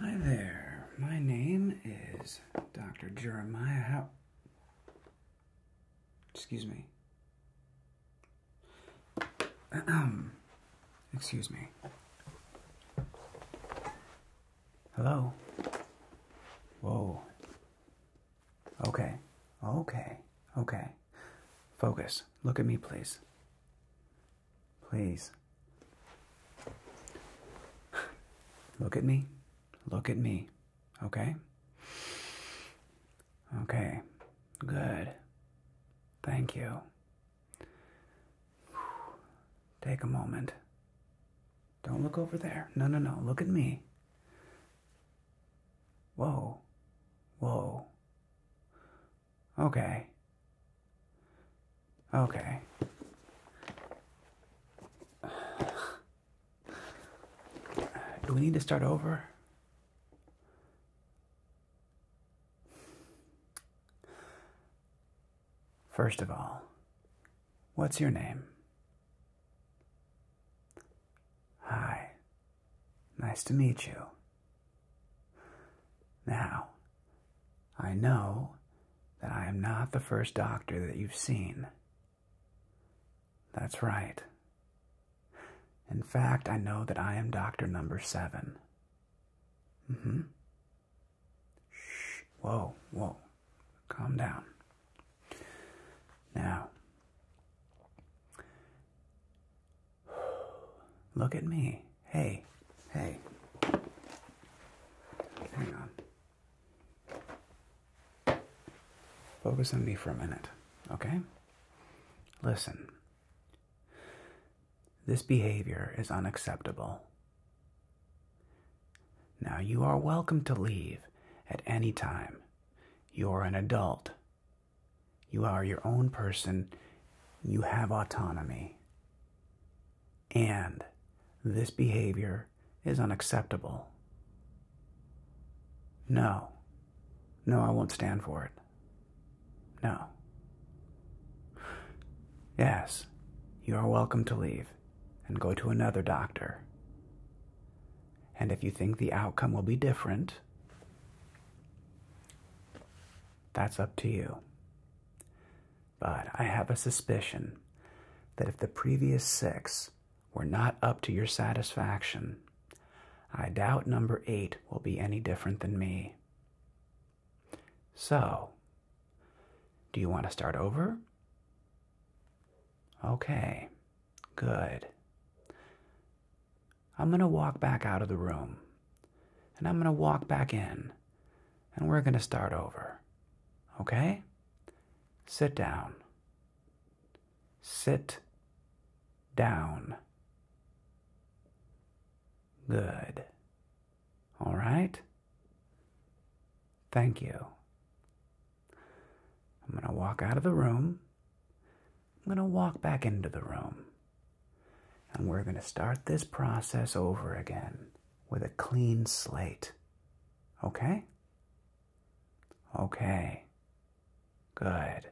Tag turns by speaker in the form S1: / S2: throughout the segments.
S1: Hi there, my name is Dr. Jeremiah Excuse me. Excuse me. Hello? Whoa. Okay. Okay. Okay. Focus. Look at me, please. Please. Look at me. Look at me. Okay? Okay. Good. Thank you. Take a moment. Don't look over there. No, no, no. Look at me. Whoa. Whoa. Okay. Okay. Do we need to start over? First of all, What's your name? Hi. Nice to meet you. Now, I know that I am not the first doctor that you've seen. That's right. In fact, I know that I am doctor number seven. Mm-hmm. Shh. Whoa, whoa. Calm down. Now, look at me. Hey, hey. Hang on. Focus on me for a minute, okay? Listen. This behavior is unacceptable. Now you are welcome to leave at any time. You're an adult. You are your own person. You have autonomy. And this behavior is unacceptable. No. No, I won't stand for it. No. Yes, you are welcome to leave and go to another doctor. And if you think the outcome will be different, that's up to you. But I have a suspicion that if the previous six were not up to your satisfaction, I doubt number eight will be any different than me. So, do you want to start over? Okay, good. I'm going to walk back out of the room, and I'm going to walk back in, and we're going to start over. Okay? Sit down. Sit down. Good. All right? Thank you. I'm going to walk out of the room. I'm going to walk back into the room. And we're going to start this process over again with a clean slate. Okay? Okay. Good.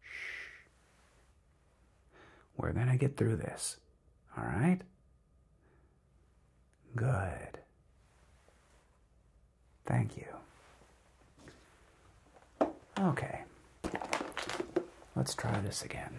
S1: Shh. We're going to get through this. All right? Good. Thank you. Okay. Let's try this again.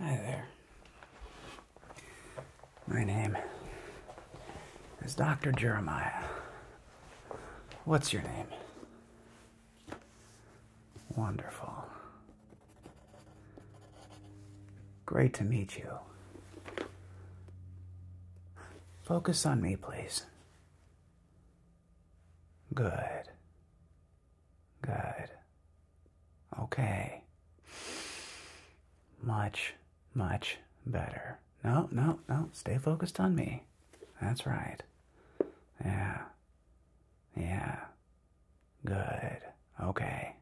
S1: Hi there. My name is Dr. Jeremiah. What's your name? Wonderful. Great to meet you. Focus on me, please. Good. Good. Okay. Much, much better. No, no, no. Stay focused on me. That's right. Yeah. Yeah. Good. Okay.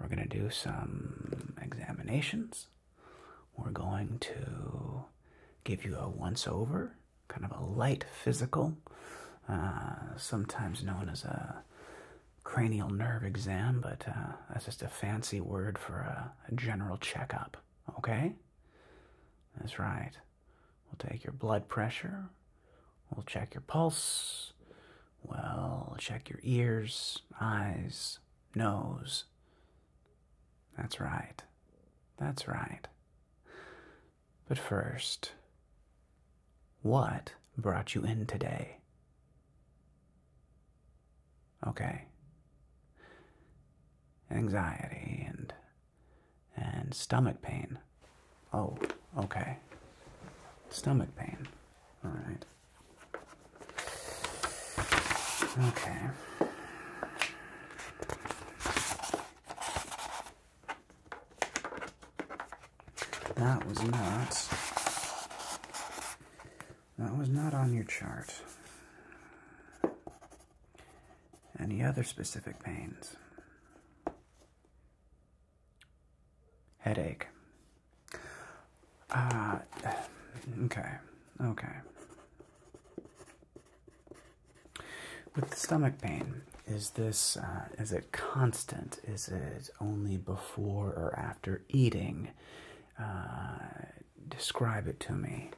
S1: We're going to do some examinations. We're going to give you a once over kind of a light physical, uh, sometimes known as a cranial nerve exam, but uh, that's just a fancy word for a general checkup. Okay? That's right. We'll take your blood pressure, we'll check your pulse, we'll check your ears, eyes, nose. That's right. That's right. But first, what brought you in today? Okay. Anxiety and and stomach pain. Oh, okay. Stomach pain. All right. Okay. That was not. That was not on your chart. Any other specific pains? Headache. Ah, okay, okay. With the stomach pain, is this uh, is it constant? Is it only before or after eating? Uh, describe it to me.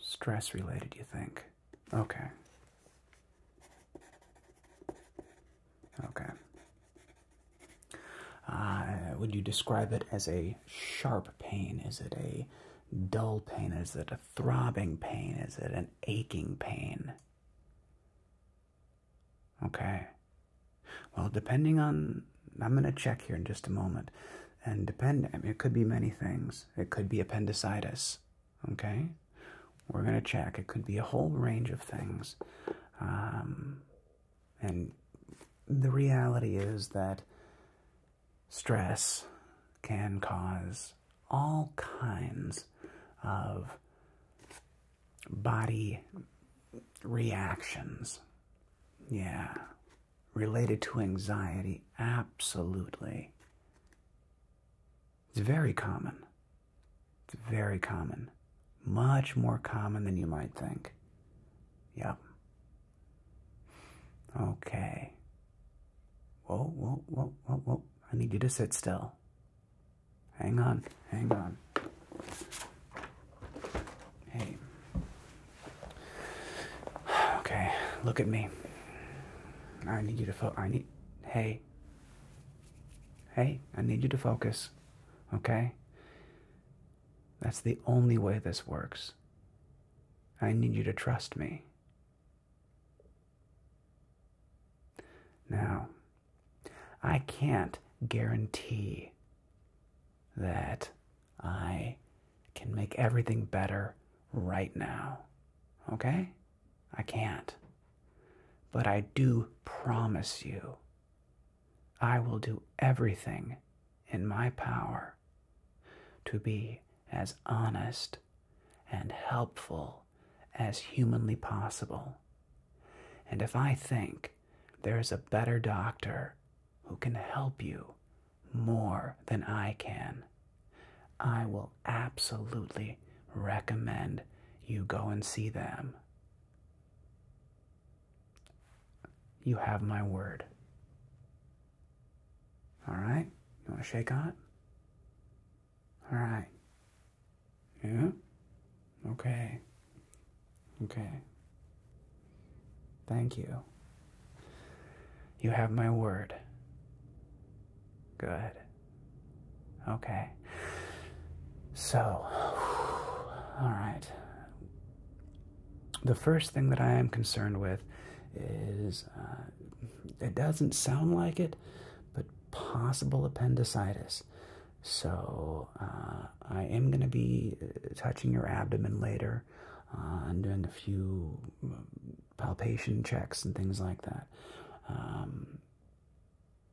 S1: Stress related, you think? Okay. Okay. Uh, would you describe it as a sharp pain? Is it a dull pain? Is it a throbbing pain? Is it an aching pain? Okay. Well, depending on, I'm going to check here in just a moment. And depend, it could be many things. It could be appendicitis. Okay. We're going to check. It could be a whole range of things. Um, and the reality is that stress can cause all kinds of body reactions. Yeah. Related to anxiety, absolutely. It's very common. It's very common. Much more common than you might think. Yep. Okay. Whoa, whoa, whoa, whoa, whoa. I need you to sit still. Hang on, hang on. Hey. Okay, look at me. I need you to focus. I need hey. Hey, I need you to focus. Okay? That's the only way this works. I need you to trust me. Now, I can't guarantee that I can make everything better right now. Okay? I can't. But I do promise you, I will do everything in my power to be as honest and helpful as humanly possible. And if I think there is a better doctor who can help you more than I can, I will absolutely recommend you go and see them. You have my word. All right. You want to shake on it? All right. Yeah? Okay. Okay. Thank you. You have my word. Good. Okay. So, all right the first thing that I am concerned with is uh, it doesn't sound like it, but possible appendicitis. So uh, I am going to be uh, touching your abdomen later and doing a few palpation checks and things like that. Um,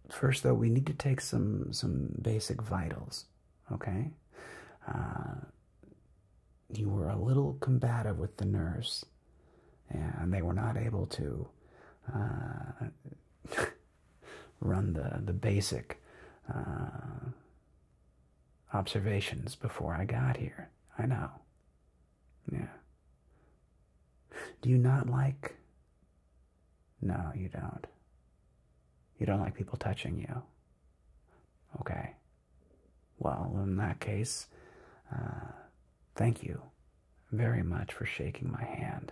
S1: first, though, we need to take some some basic vitals. Okay you were a little combative with the nurse, and they were not able to uh, run the the basic uh, observations before I got here. I know. Yeah. Do you not like? No, you don't. You don't like people touching you. Okay. Well, in that case, uh, thank you very much for shaking my hand.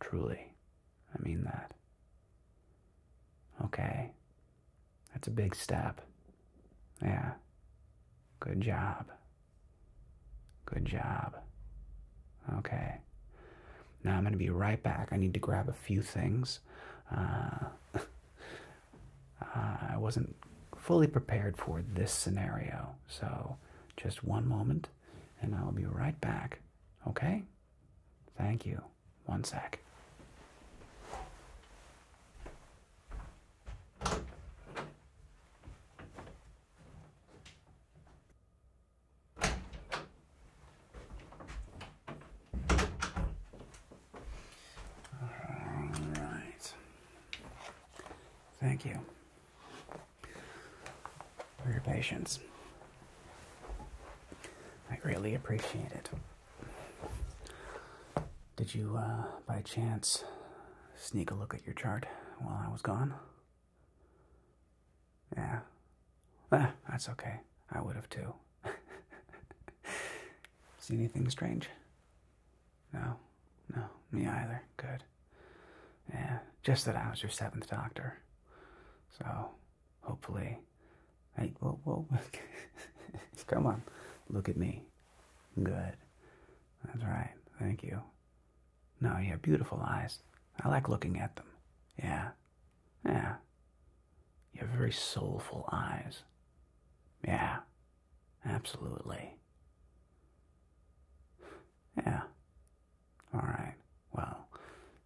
S1: Truly, I mean that. Okay, that's a big step. Yeah, good job. Good job. Okay. Now I'm going to be right back. I need to grab a few things. Uh, Uh, I wasn't fully prepared for this scenario. So just one moment and I'll be right back. Okay? Thank you. One sec. All right. Thank you for your patience. I really appreciate it. Did you, uh, by chance, sneak a look at your chart while I was gone? Yeah. Ah, that's okay. I would have too. See anything strange? No, no, me either. Good. Yeah, just that I was your seventh doctor. So, hopefully, hey, whoa, whoa, come on, look at me. Good. That's right. Thank you. No, you have beautiful eyes. I like looking at them. Yeah, yeah. You have very soulful eyes. Yeah, Absolutely. Yeah. All right. Well,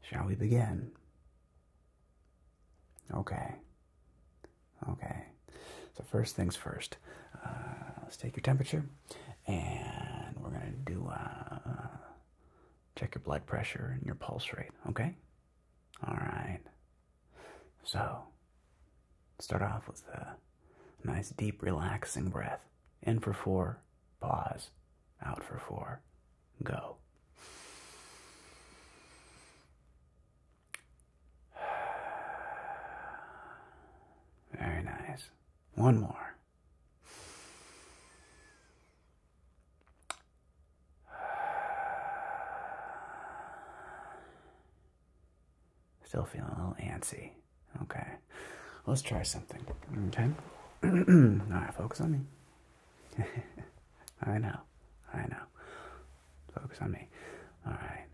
S1: shall we begin? Okay. Okay. So, first things first, uh, let's take your temperature and we're going to do uh, check your blood pressure and your pulse rate. Okay? All right. So, start off with a nice, deep, relaxing breath. In for four, pause. Out for four, go. Very nice. One more. Still feeling a little antsy. Okay. Let's try something. Okay. All right, focus on me. I know. I know. Focus on me. All right.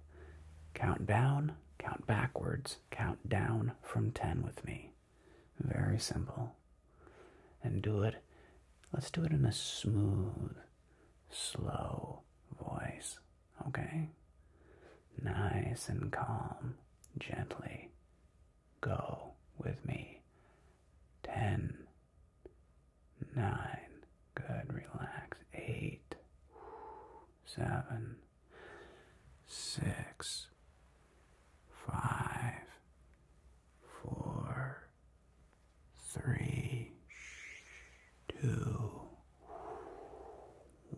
S1: Count down, count backwards, count down from 10 with me. Very simple. And do it. Let's do it in a smooth, slow voice, okay? Nice and calm, gently. Go with me. Ten, nine, good, relax. Eight, seven, six, five, four, three, two,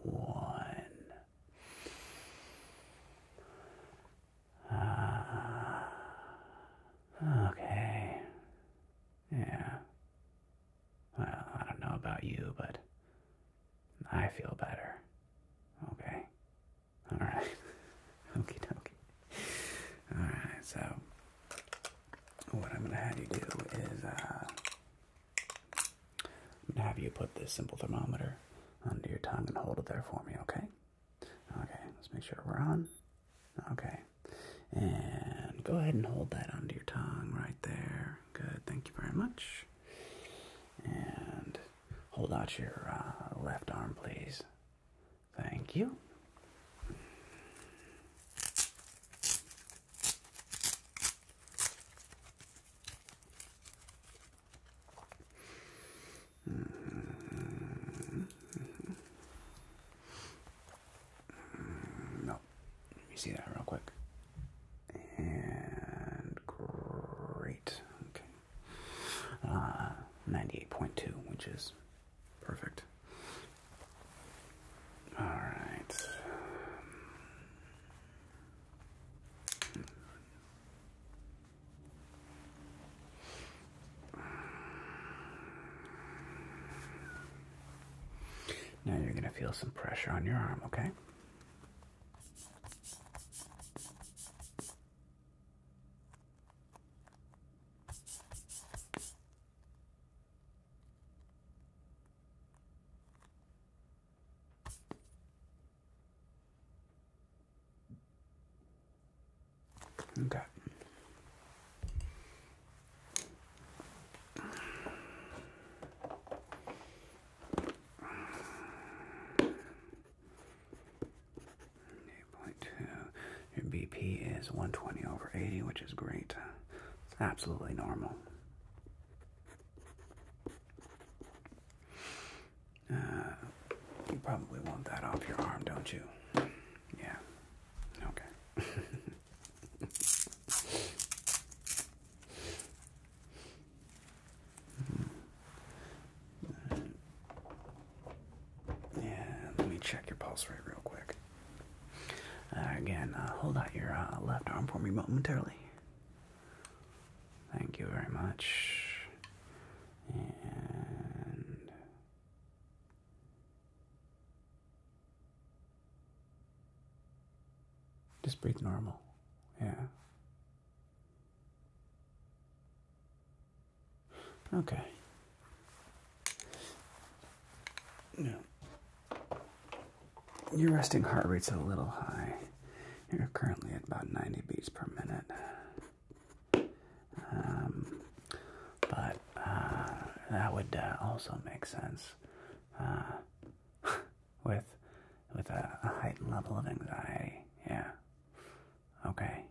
S1: one. Uh, okay. Yeah. Well, I don't know about you, but I feel better. Okay. Alright. Okie dokie. Alright, so what I'm going to have you do is I'm going to have you put this simple thermometer under your tongue and hold it there for me, okay? Okay, let's make sure we're on. Okay. And go ahead and hold that under your tongue right there. Good, thank you very much. And hold out your uh, left arm, please. Thank you. Mm-hmm. No, let me see that real quick. And great, okay. Uh, 98.2, which is Perfect. All right. Now you're going to feel some pressure on your arm, okay? Okay. Eight point two. Your BP is one twenty over eighty, which is great. It's absolutely normal. Uh, you probably want that off your arm, don't you? Yeah. Okay. yeah, let me check your pulse rate real quick. Uh, again, uh, hold out your uh, left arm for me momentarily. Thank you very much. And just breathe normal. Yeah. Okay. No, Your resting heart rate's a little high. You're currently at about 90 beats per minute. Um, but uh, that would uh, also make sense uh, with with a, a heightened level of anxiety. Yeah. Okay.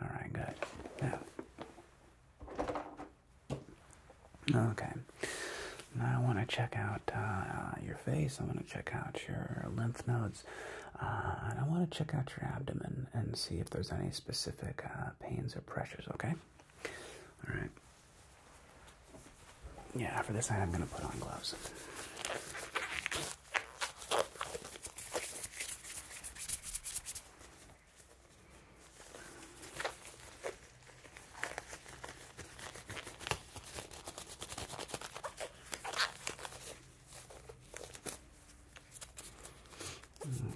S1: All right. Good. Now. Okay. Now I want to check out uh, uh, your face. I am going to check out your lymph nodes. Uh, and I want to check out your abdomen and see if there's any specific pains or pressures. Okay. All right. Yeah. For this, I'm going to put on gloves.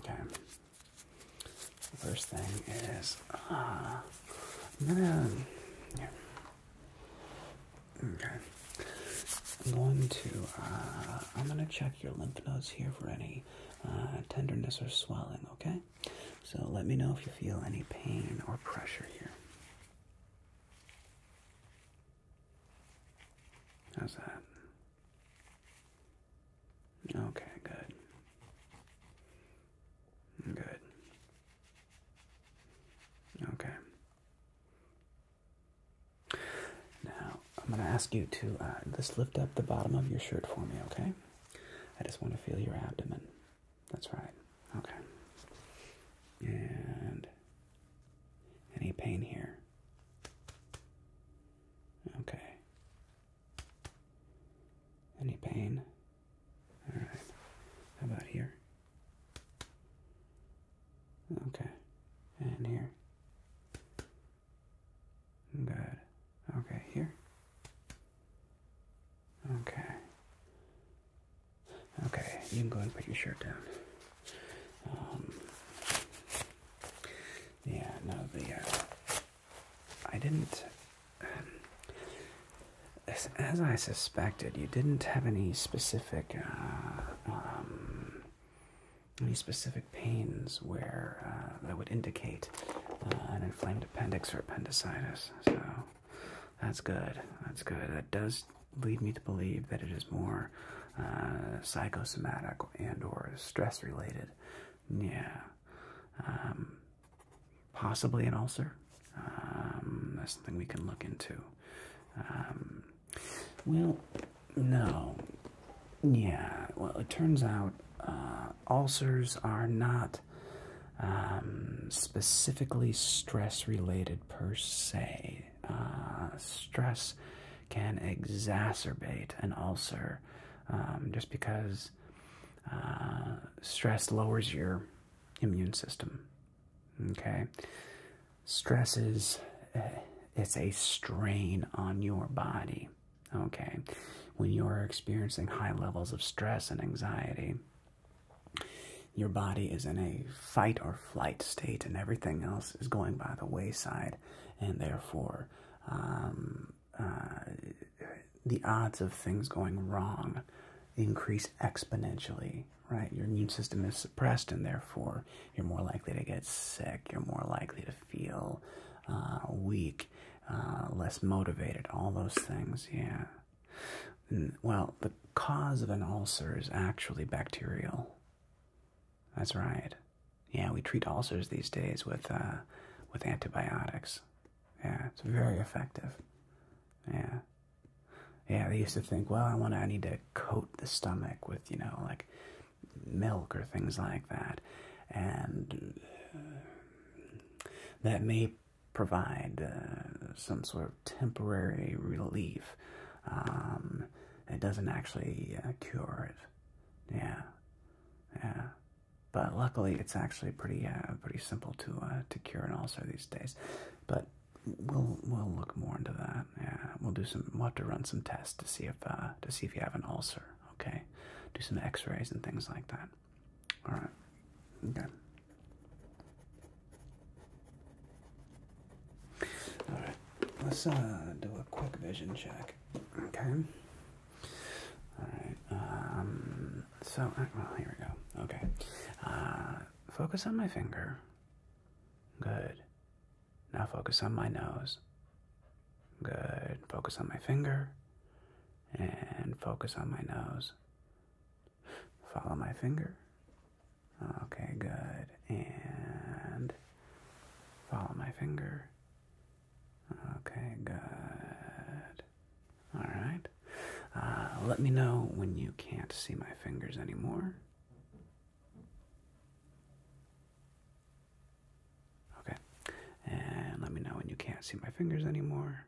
S1: Okay. first thing is, uh, I'm gonna, Okay. I'm going to, uh, I'm gonna check your lymph nodes here for any uh, tenderness or swelling, okay? So let me know if you feel any pain or pressure here. How's that? Okay, good. Good. Okay. Now, I'm going to ask you to uh, just lift up the bottom of your shirt for me, okay? I just want to feel your abdomen. That's right. Okay. And any pain here? Okay. Any pain? All right. about here? Okay. And here. Good. Okay, here. Okay. Okay, you can go ahead and put your shirt down. Um, yeah, no, the, uh, I didn't, as, as, I suspected, you didn't have any specific, uh, um, any specific pains where, uh, that would indicate, uh, an inflamed appendix or appendicitis. So that's good. That's good. That does lead me to believe that it is more uh, psychosomatic and or stress related. Yeah. Um, possibly an ulcer. Um, that's something we can look into. Um, well, no. Yeah. Well, it turns out uh, ulcers are not um, specifically stress related per se. Uh, stress can exacerbate an ulcer um, just because uh, stress lowers your immune system. Okay, stress is eh, it's a strain on your body. Okay, when you're experiencing high levels of stress and anxiety, your body is in a fight or flight state, and everything else is going by the wayside, and therefore, um, uh, the odds of things going wrong increase exponentially. Right, your immune system is suppressed, and therefore, you're more likely to get sick. You're more likely to feel uh, weak. Uh, less motivated, all those things, yeah. Well, the cause of an ulcer is actually bacterial. That's right. Yeah, we treat ulcers these days with uh, with antibiotics. Yeah, it's very effective. Yeah. Yeah, they used to think, well, I want to, I need to coat the stomach with, you know, like milk or things like that. And uh, that may provide uh, some sort of temporary relief. Um, it doesn't actually uh, cure it. Yeah, yeah. But luckily, it's actually pretty uh, pretty simple to to cure an ulcer these days. But we'll we'll look more into that. Yeah, we'll do some. We'll have to run some tests to see if to see if you have an ulcer. Okay, do some X-rays and things like that. All right. Okay. All right. Let's uh, do a quick vision check. Okay. All right. Um. So, uh, well, here we go. Okay. Uh, focus on my finger. Good. Now focus on my nose. Good. Focus on my finger. And focus on my nose. Follow my finger. Okay, good. And follow my finger. Okay, good. All right. Uh, let me know when you can't see my fingers anymore. Okay. And let me know when you can't see my fingers anymore.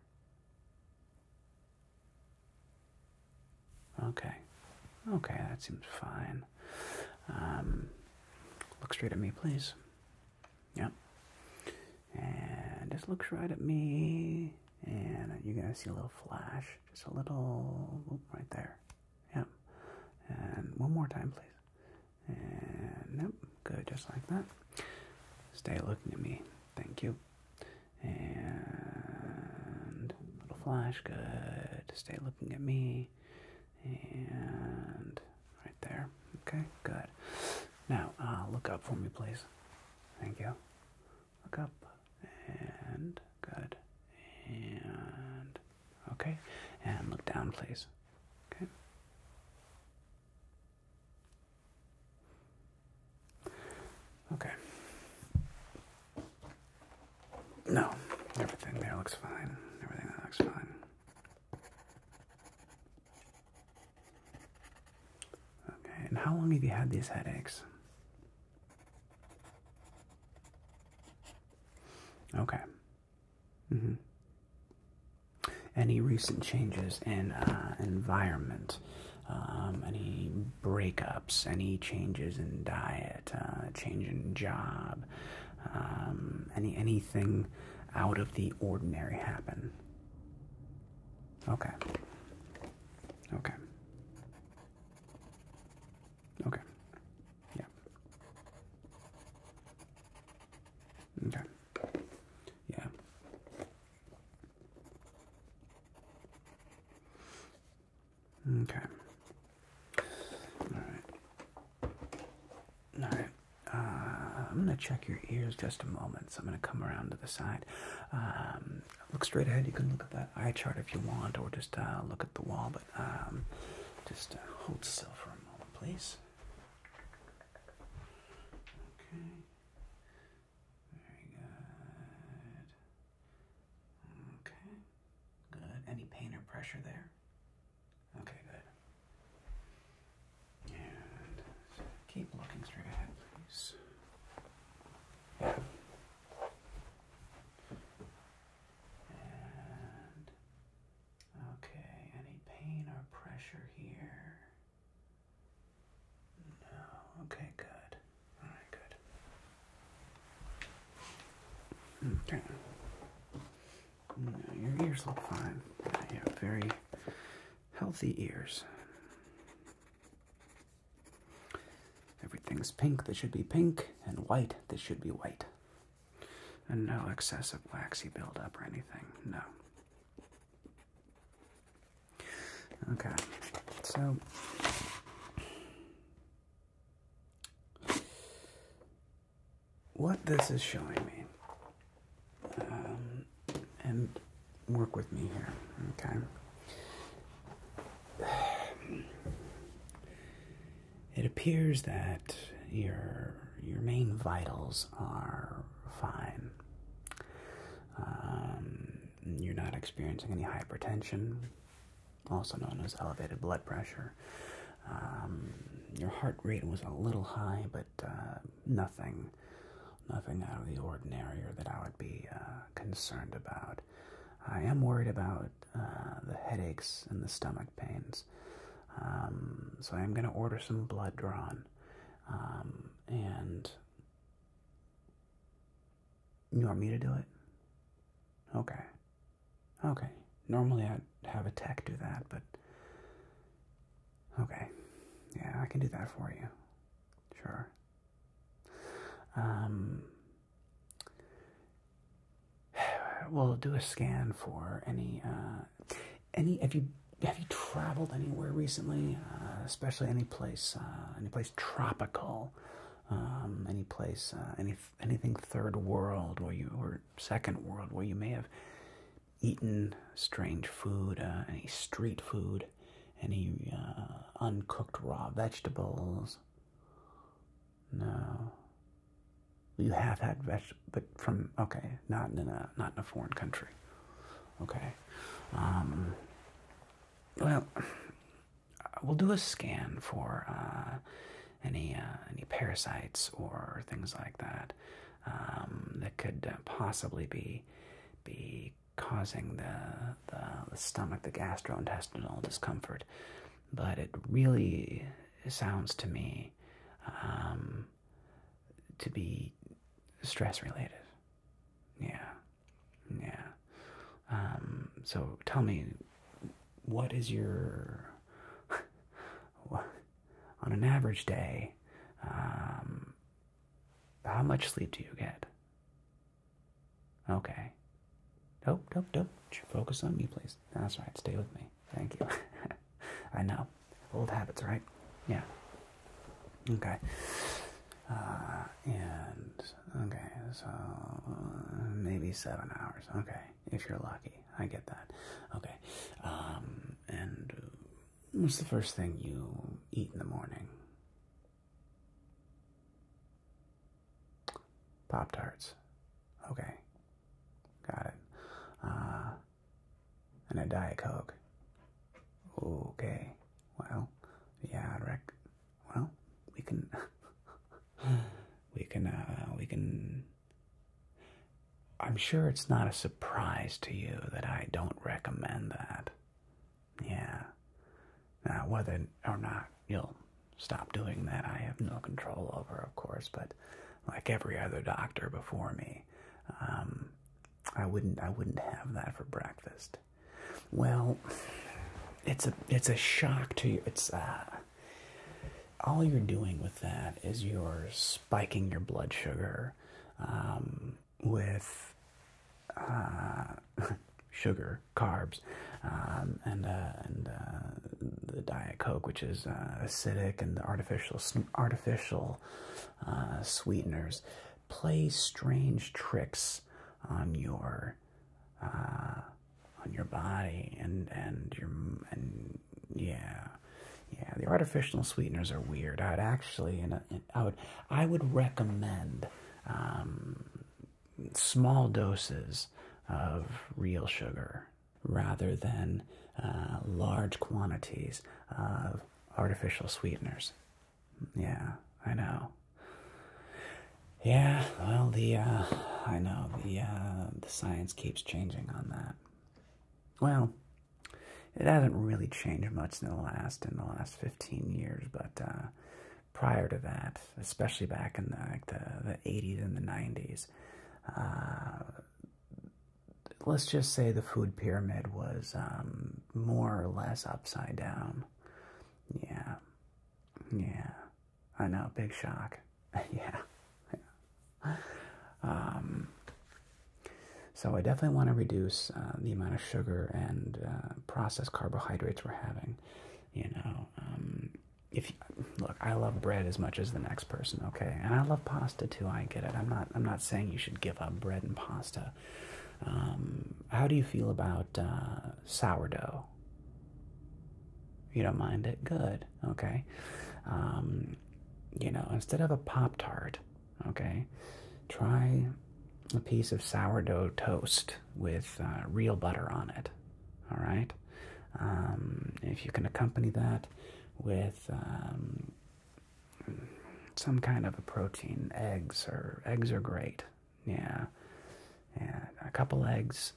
S1: Okay. Okay, that seems fine. Um, look straight at me, please. Yep. And just looks right at me. And you're going to see a little flash. Just a little. right there. Yep. And one more time, please. And, yep. Good, just like that. Stay looking at me. Thank you. And little flash. Good. Stay looking at me. And right there. Okay, good. Now, uh, look up for me, please. Thank you. Look up. And good. And okay. And look down, please. Okay. Okay. No, everything there looks fine. Everything looks fine. Okay, and how long have you had these headaches? Okay. Mm-hmm. Any recent changes in uh, environment, um, any breakups, any changes in diet, uh, change in job, um, any anything out of the ordinary happen? Okay. Okay. Okay. Yeah. Okay. Yeah. Okay. All right. All right. Uh, I'm going to check your ears just a moment. So I'm going to come around to the side. Um, look straight ahead. You can look at that eye chart if you want, or just uh, look at the wall. But um, just uh, hold still for a moment, please. Okay. Very good. Okay. Good. Any pain or pressure there? Okay, good. And keep looking straight ahead, please. Yeah. And okay, any pain or pressure here? No. Okay, good. All right, good. Hmm, okay. your ears look fine. You very healthy ears. Everything's pink that should be pink, and white that should be white. And no excessive waxy buildup or anything, no. Okay, so what this is showing me, um, and work with me here, okay? It appears that your your main vitals are fine. Um, you're not experiencing any hypertension, also known as elevated blood pressure. Um, your heart rate was a little high, but uh, nothing, nothing out of the ordinary or that I would be uh, concerned about. I am worried about uh, the headaches and the stomach pains, um, so I am going to order some blood drawn, and you want me to do it? Okay. Okay. Normally I'd have a tech do that, but. Okay. Yeah, I can do that for you. Sure. Um, we'll do a scan for any uh, any. Have you have you traveled anywhere recently? Uh, especially any place, uh, any place tropical, um, any place, uh, any anything third world where you or second world where you may have eaten strange food, any street food, any uncooked raw vegetables. No. You have had vegetables but from okay, not in a not in a foreign country. Okay. Um, well, we'll do a scan for uh, any uh, any parasites or things like that um, that could uh, possibly be be causing the, the stomach, the gastrointestinal discomfort. But it really sounds to me um, to be stress related. Yeah yeah. Um, so tell me, what is your on an average day? Um, how much sleep do you get? Okay. Nope, nope, nope. Focus on me, please. That's right. Stay with me. Thank you. I know. Old habits, right? Yeah. Okay. Uh, and okay, so maybe seven hours. Okay, if you're lucky, I get that. Okay. Um, and what's the first thing you eat in the morning? Pop tarts. Okay, got it. Uh, and a diet coke. Okay, well, yeah, I reckon. Well, we can, we can, uh, we can. I'm sure it's not a surprise to you that I don't recommend that. Yeah. Now, whether or not you'll stop doing that, I have no control over, of course, but like every other doctor before me, um, I wouldn't I wouldn't have that for breakfast. Well, it's a it's a shock to you. It's uh, all you're doing with that is you're spiking your blood sugar um, with uh, sugar, carbs, um, and uh, and the diet coke, which is acidic, and the artificial artificial sweeteners play strange tricks on your uh, on your body and and your and yeah yeah the artificial sweeteners are weird i'd actually and i would i would recommend um, small doses of real sugar rather than uh, large quantities of artificial sweeteners yeah, I know. Yeah, well, the, uh, I know, the, uh, the science keeps changing on that. Well, it hasn't really changed much in the last, in the last 15 years, but, uh, prior to that, especially back in the, like the, the 80s and the 90s, uh, let's just say the food pyramid was um, more or less upside down. Yeah. Yeah. I know, big shock. yeah. Um, so I definitely want to reduce uh, the amount of sugar and uh, processed carbohydrates we're having. You know, um, if you, look, I love bread as much as the next person, okay? And I love pasta too. I get it. I'm not. I'm not saying you should give up bread and pasta, um, how do you feel about uh, sourdough? You don't mind it? Good. Okay. Um, you know, instead of a Pop Tart, okay, try a piece of sourdough toast with uh, real butter on it. All right. Um, if you can accompany that with some kind of a protein, eggs or eggs are great yeah, and a couple eggs,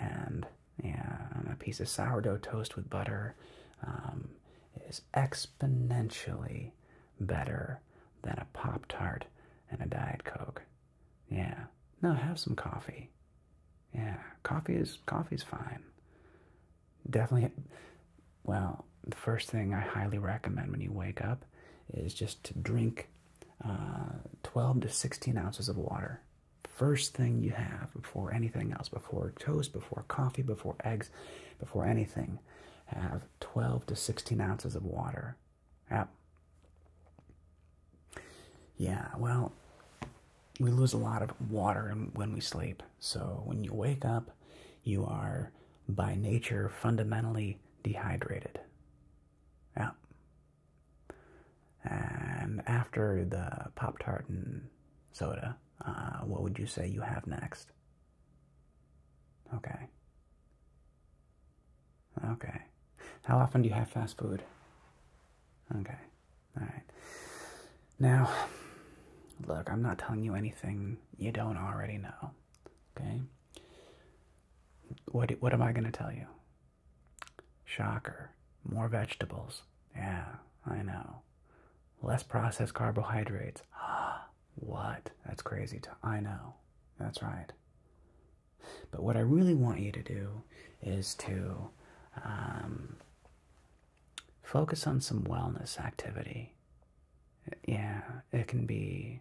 S1: and yeah, a piece of sourdough toast with butter um, is exponentially better than a Pop Tart and a Diet Coke. Yeah, now have some coffee. Yeah, coffee is coffee's fine. Definitely, well, the first thing I highly recommend when you wake up is just to drink uh, 12 to 16 ounces of water. First thing you have before anything else, before toast, before coffee, before eggs, before anything, have 12 to 16 ounces of water. Yep. Yeah, well, we lose a lot of water when we sleep. So when you wake up, you are by nature fundamentally dehydrated. Yeah. And after the Pop Tart and soda, uh, what would you say you have next? Okay. Okay. How often do you have fast food? Okay. All right. Now, look, I'm not telling you anything you don't already know. Okay? What what am I going to tell you? Shocker. More vegetables. Yeah, I know. Less processed carbohydrates. Ah, what? That's crazy. I know. That's right. But what I really want you to do is to um, focus on some wellness activity yeah, it can be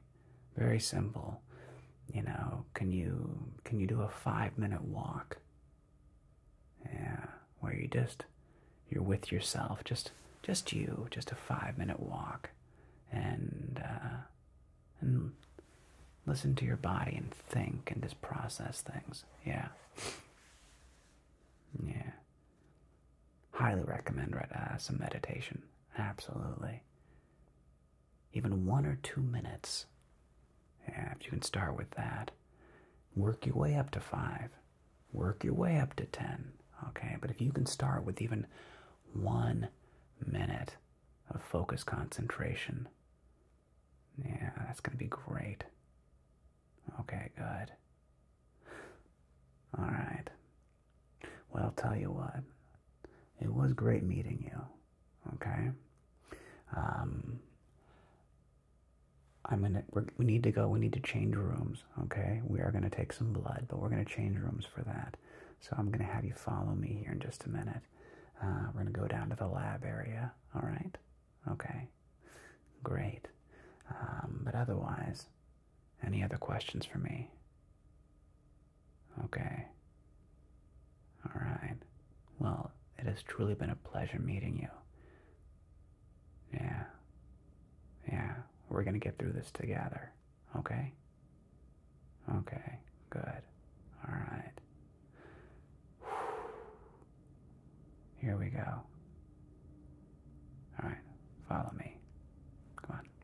S1: very simple. You know, can you can you do a five minute walk? Yeah, where you just you're with yourself, just just you, just a five minute walk, and uh, and listen to your body and think and just process things. Yeah, yeah. Highly recommend uh, some meditation. Absolutely even one or two minutes. Yeah, if you can start with that, work your way up to five, work your way up to ten. Okay, but if you can start with even one minute of focus concentration, yeah, that's going to be great. Okay, good. All right. Well, I'll tell you what, it was great meeting you. Okay. Um, I'm gonna. we need to go. We need to change rooms. Okay. We are gonna take some blood, but we're gonna change rooms for that. So I'm gonna have you follow me here in just a minute. Uh, we're gonna go down to the lab area. All right. Okay. Great. Um, but otherwise, any other questions for me? Okay. All right. Well, it has truly been a pleasure meeting you. Yeah. Yeah. We're going to get through this together. Okay? Okay. Good. All right. Here we go. All right. Follow me. Come on.